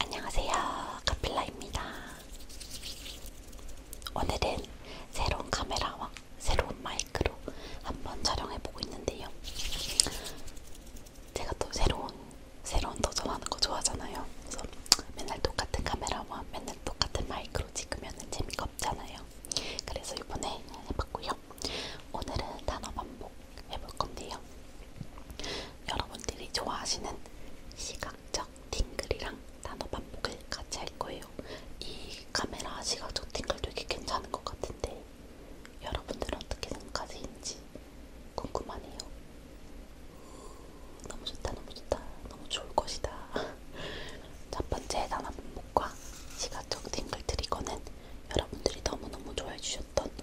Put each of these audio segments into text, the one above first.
안녕하세요. 카필라입니다. 오늘은 새로운 카메라와 새로운 마이크로 한번 촬영해보고 있는데요. 제가 또 새로운, 새로운 도전하는 거 좋아하잖아요. 그래서 맨날 똑같은 카메라와 맨날 똑같은 마이크로 찍으면 재미가 없잖아요. 그래서 이번에 해봤고요. 오늘은 단어 반복 해볼 건데요. 여러분들이 좋아하시는 시각적 팅글이랑 단어 반복을 같이 할 거예요. 이 카메라 시각적 팅글 되게 괜찮은 것 같은데 여러분들은 어떻게 생각하시는지 궁금하네요. 음, 너무 좋다, 너무 좋다, 너무 좋을 것이다. 첫 번째 단어 반복과 시각적 팅글 드리거는 여러분들이 너무너무 좋아해 주셨던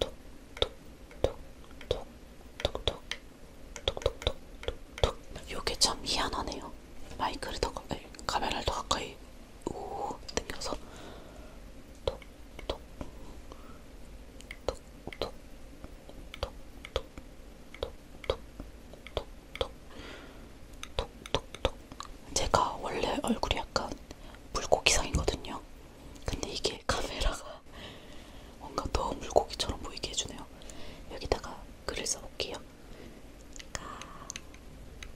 톡톡톡톡톡톡톡톡톡톡톡 요게 참 희한하네요. 마이크를 더 가까이, 카메라를 더 가까이 우 당겨서 톡톡톡톡톡톡톡톡톡톡톡톡 제가 원래 얼굴이 약간 물고기상이거든요. 근데 이게 카메라가 뭔가 더 물고기처럼 보이게 해주네요. 여기다가 글을 써볼게요.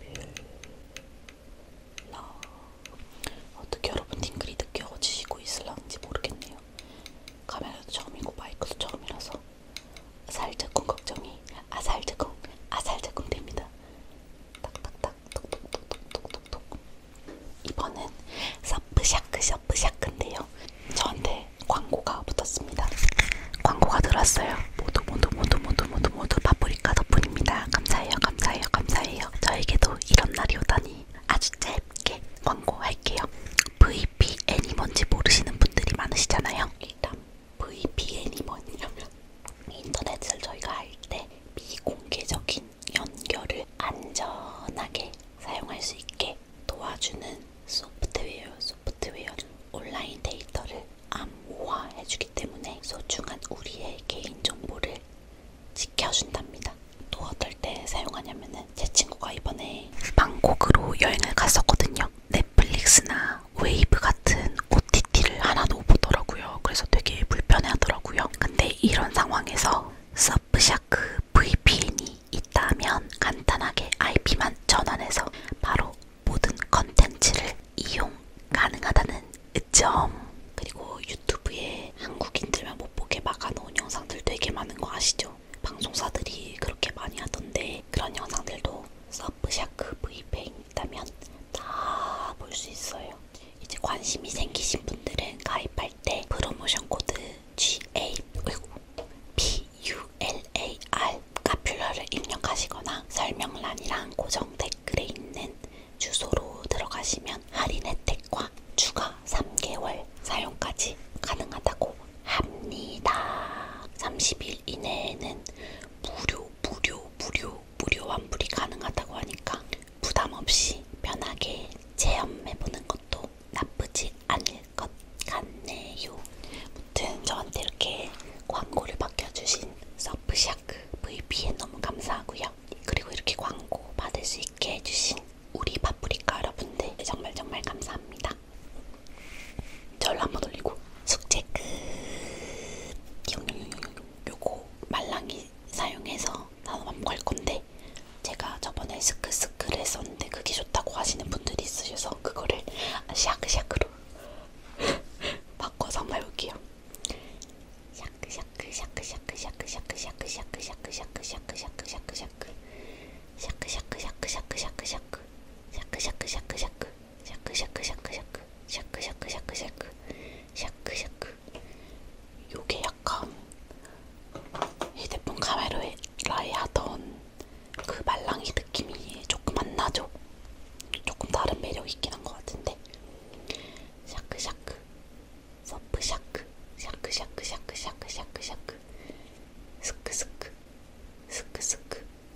까빌러 어떻게 여러분 팅글이 늦게 어지시고 있을랑지 모르겠네요. 카메라도 처음이고 마이크도 처음이라서 아살짝꿍 걱정이 아살짝꿍 아살짝꿍 됩니다. 딱딱딱 톡톡톡톡톡톡 이번엔 샤프샤크 샤프샤크인데요. 저한테 광고가 붙었습니다. 광고가 들었어요. 모두 모두 모두 모두 모두 모두 파프리카 덕분입니다. 감사해요 감사해요 감사해요. 저에게도 이런 날이 오다니 아주 짧게 광고할게요. VPN이 뭔지 모르시는 분들이 많으시잖아요. 일단 VPN이 뭐냐면 인터넷을 저희가 할 때 미공개적인 연결을 안전하게 사용할 수 있게 도와주는 소프트웨어, 소프트웨어 온라인 데이터를 암호화해주기 때문에 소중한 우리의 개인정보를 지켜준답니다. 또 어떨 때 사용하냐면은 제 친구가 이번에 방콕으로 여행을 갔었거든요. 넷플릭스나 웨이브 같은 OTT를 하나 못 보더라고요. 그래서 되게 불편해하더라고요. 근데 이런 상황에서 서프샤크 VPN이 있다면 간단하게 IP만 전환해서 바로 모든 컨텐츠를 이용 가능하다는 점. 그리고 유튜브에 한국인들만 못 보게 막아놓은 영상들 되게 많은 거 아시죠? 방송사들이 그렇게 많이 하던데 그런 영상들도 서프샤크 VPN이 있다면 다볼수 있어요. 이제 관심이 생기신 분들은 가입할 때 프로모션 코드 G A P U L A R 카퓰러를 입력하시거나 설명란이랑 고정 댓글에 있는 주소로 들어가시면 할인 혜택과 추가 3개월 사용까지 가능하다고 합니다. 30일 이내에는 무료 무료 무료 무료 환불이 가능하다고 하니까 부담 없이 편하게 체험해보는 것도 나쁘지 않을 것 같네요. 무튼 저한테 이렇게 광고를 맡겨주신 서프샤크 VP에 너무 감사하고요. 그리고 이렇게 광고 받을 수 있게 해주신 우리 파프리카 여러분들 정말 정말 감사합니다. 저를 한번 올리고 숙제 끝! 용용용용 요거 말랑이 사용해서 단호밤 걸 건데 제가 저번에 스크스크를 했었는데 그게 좋다고 하시는 분들이 있으셔서 그거를 샤크샤크로 바꿔서 한번 해볼게요. 샤크샤크 샤크샤크 샤크샤크 샤크샤크 샤크샤크 샤크샤크 샤크샤크 샤크샤크 샤크샤크 샤크샤크 샤크샤크 샤크샤크 샤크샤크 샤크샤크샤크샤크 샤크샤크샤크샤크 샤크샤크 요게 약간 휴대폰 카메라에 라이하던 그 말랑이 느낌이 조금 안 나죠? 조금 다른 매력이 있긴 한 것 같은데 샤크샤크 서프샤크 샤크샤크샤크샤크샤크샤크 스크스크 스크스크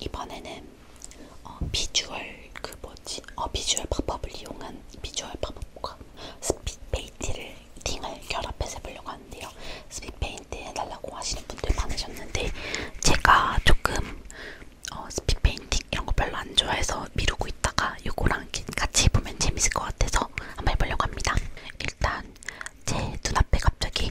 이번에는 어, 비주얼 그 뭐지? 어 비주얼 팝업을 이용한 비주얼 팝업과 스피드 페인트를 팅을 결합해서 해보려고 하는데요. 스피드 페인트 해달라고 하시는 분들 많으셨는데 제가 조금 어, 스피드 페인팅 이런 거 별로 안 좋아해서 미루고 있다가 이거랑 같이 해보면 재밌을 것 같아서 한번 해보려고 합니다. 일단 제 눈앞에 갑자기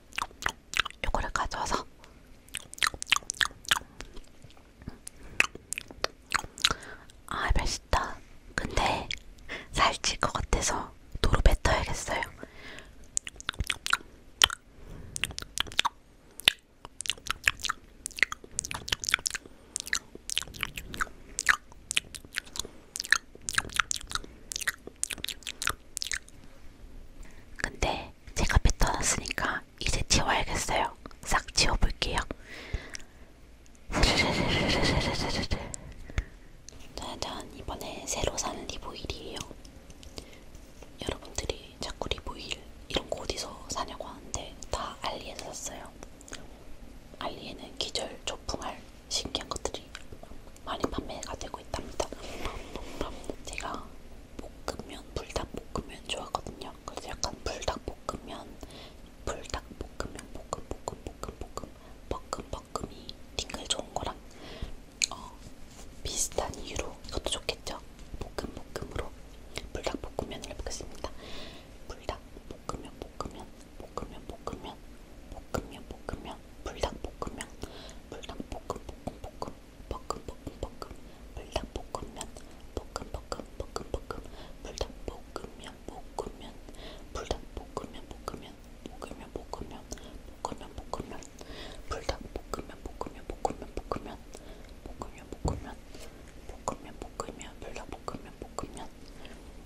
요거를 가져와서 아 맛있다. 근데 살찔 것 같아서 도로 뱉어야겠어요. 근데 제가 뱉어놨으니까 이제 치워야겠어요. 싹 치워볼게요. 짜잔 이번에 새로 사는 리보일이에요. 여러분들이 자꾸 리보일 이런 거 어디서 사냐고 하는데 다 알리에서 샀어요. 알리에는 기절 조풍할 신기한 것들이 많이 판매가 되고 있답니다. 제가 볶음면, 불닭볶음면 좋아하거든요. 그래서 약간 불닭볶음면, 불닭볶음면, 볶음, 볶음, 볶음, 볶음, 볶음, 볶음이 딩글 좋은 거랑 어, 비슷한 이유로 이것도 좋겠죠? 볶음, 볶음으로 불닭볶음면을 해보겠습니다. 불닭볶음면, 볶음면, 볶음면 볶음면 볶음면 볶음면 불닭 볶음면 불닭 볶음 볶음 볶음 볶음 볶음 볶음 불닭 볶음면 볶음 볶음 볶음 볶음 불닭 볶음면 볶음면 불닭 볶음면 볶음면 볶음면 볶음면 볶음면 볶음면 불닭 볶음면 볶음면 볶음면 볶음면 볶음면 볶음면 볶음면 볶음면 불닭 볶음면 볶음면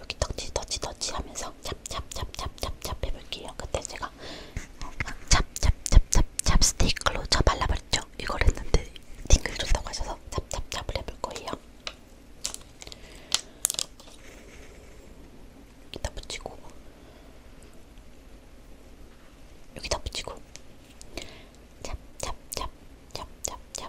여기 터치 터치 터치 하면서 찹찹찹찹찹찹 해볼게요. 그때 제가 찹찹찹찹찹 스틱으로 저 발라버렸죠. 이걸 했는데 팅글 좋다고 하셔서 찹찹찹을 해볼 거예요. 여기다 붙이고 여기다 붙이고 찹찹찹찹찹찹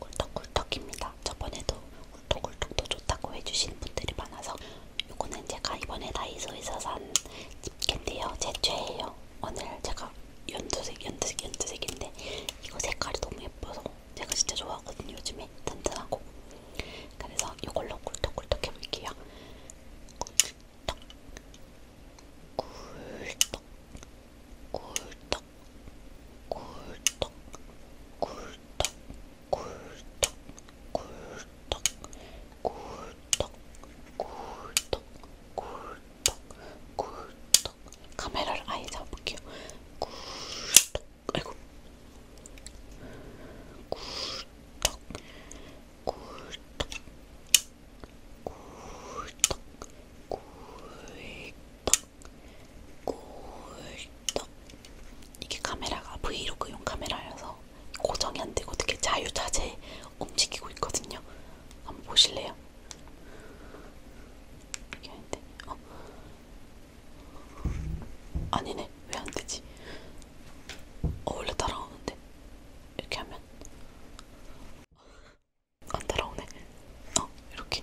꿀떡꿀떡입니다. 저번에도 꿀떡꿀떡도 좋다고 해주신 분들이 많아서 요거는 제가 이번에 다이소에서 산 딥캔데요. 제 최애예요. 오늘 제가 연두색, 연두색, 연두색인데 이거 색깔이 너무 예뻐서 제가 진짜 좋아하거든요. 요즘에 튼튼하고. 그래서 이걸로 꿀떡꿀떡 해볼게요. 꿀떡, 꿀떡, 꿀떡, 꿀떡, 꿀떡, 꿀떡, 꿀떡 꿀떡 꿀떡 꿀떡 꿀떡 꿀떡 카메라를 아예 잡아볼게요 꿀떡 아이고 꿀떡 꿀떡 꿀떡 꿀떡 꿀떡 꿀떡 이게 카메라가 브이로그용 카메라여서 고정이 안 되고 되게 자유자재 움직이고 있거든요. 한번 보실래요? 이게 안 돼. 어. 아니네. 왜 안 되지? 어, 원래 따라오는데. 이렇게 하면. 안 따라오네. 어, 이렇게.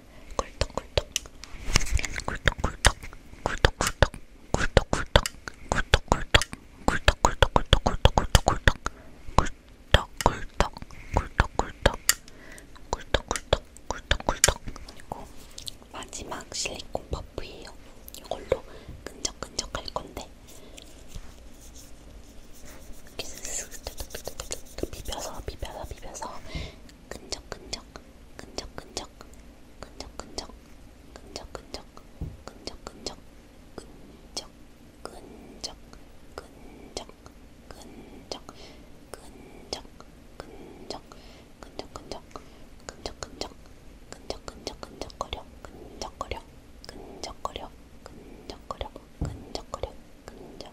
꿀떡꿀떡 꿀떡꿀떡 꿀떡꿀떡 꿀떡꿀떡 꿀떡꿀떡 꿀떡꿀떡꿀떡꿀떡꿀떡꿀떡 꿀떡꿀떡 꿀떡꿀떡 꿀떡꿀떡 꿀떡꿀떡 그리고 마지막 실리콘 퍼프예요. 이걸로 끈적끈적 할 건데 이렇게 쓱쓱쓱쓱쓱쓱 비벼서 비벼서 비벼서 끈적끈적 끈적끈적 끈적끈적 끈적끈적 끈적끈적 끈적 끈적 끈적 끈적 끈적 끈적 끈적끈적 끈적끈적 끈적끈적끈적거려 끈적거려 끈적거려 끈적거려 끈적거려 끈적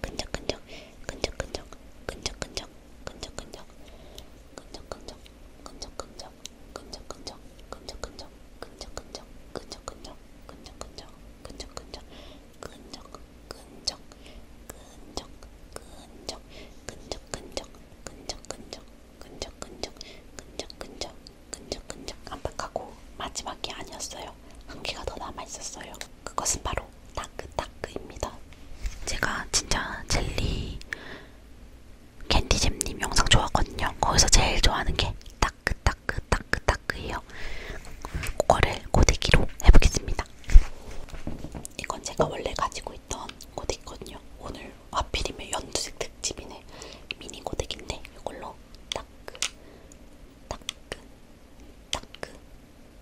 끈적끈적 끈적끈적 끈적끈적 끈적끈적 끈적끈적 끈적끈적 끈적끈적 끈적끈적 끈적끈적 끈적끈적 끈적끈적 끈적끈적 끈적끈적 끈적끈적 끈적끈적 끈적끈적 끈적끈적 끈적끈적 끈적끈적 깜빡하고 마지막이 아니었어요. 한 개가 더 남아 있었어요. 그것은 바로 따끄따끄입니다. 제가 진짜 젤리 캔디잼님 영상 좋아하거든요. 거기서 제일 좋아하는 게 따끄따끄 따끄따끄예요. 그거를 고데기로 해보겠습니다. 이건 제가 원래 가지고 있던 고데기거든요. 오늘 하필이면 연두색 특집이네. 미니 고데기인데 이걸로 따끄 따끄 따끄 따끄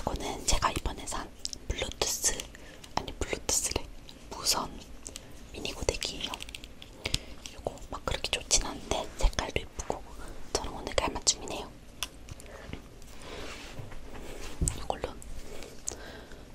이거는 제가 이번에 산 블루투스 아니 블루투스래 무선 미니 고데기예요. 이거 막 그렇게 좋진 않은데 색깔도 예쁘고 저는 오늘 깔맞춤이네요. 이걸로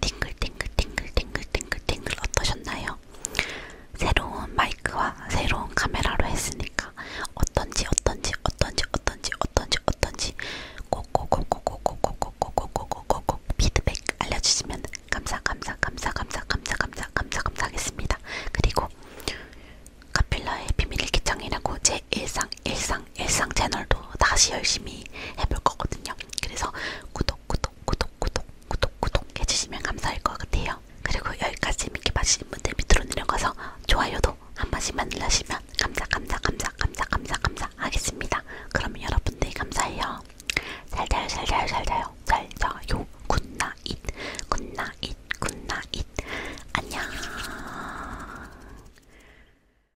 팅글팅글팅글팅글팅글팅글 어떠셨나요? 새로운 마이크와 새로운 카메라로 했으니까 어떤지 어떤지 어떤지 어떤지 어떤지 어떤지 꼭꼭꼭꼭꼭꼭꼭꼭꼭꼭꼭꼭 피드백 알려주시면 감사 감사 감사 감사 감사 감사 감사 감사하겠습니다. 그리고 카필라의 비밀일기장이라고 제 일상 일상 일상 채널도 다시 열심히 해볼 거거든요. 그래서 구독, 구독, 구독, 구독, 구독, 구독 해주시면 감사할 것 같아요. 그리고 여기까지 재밌게 봐주신 분들 밑으로 내려가서 좋아요도 한 번씩만 눌러주시면 감사, 감사, 감사, 감사, 감사, 감사 하겠습니다. 그러면 여러분들이 감사해요. 잘 자요, 잘 자요, 잘 자요, 잘 자요. 굿나잇, 굿나잇, 굿나잇. 안녕.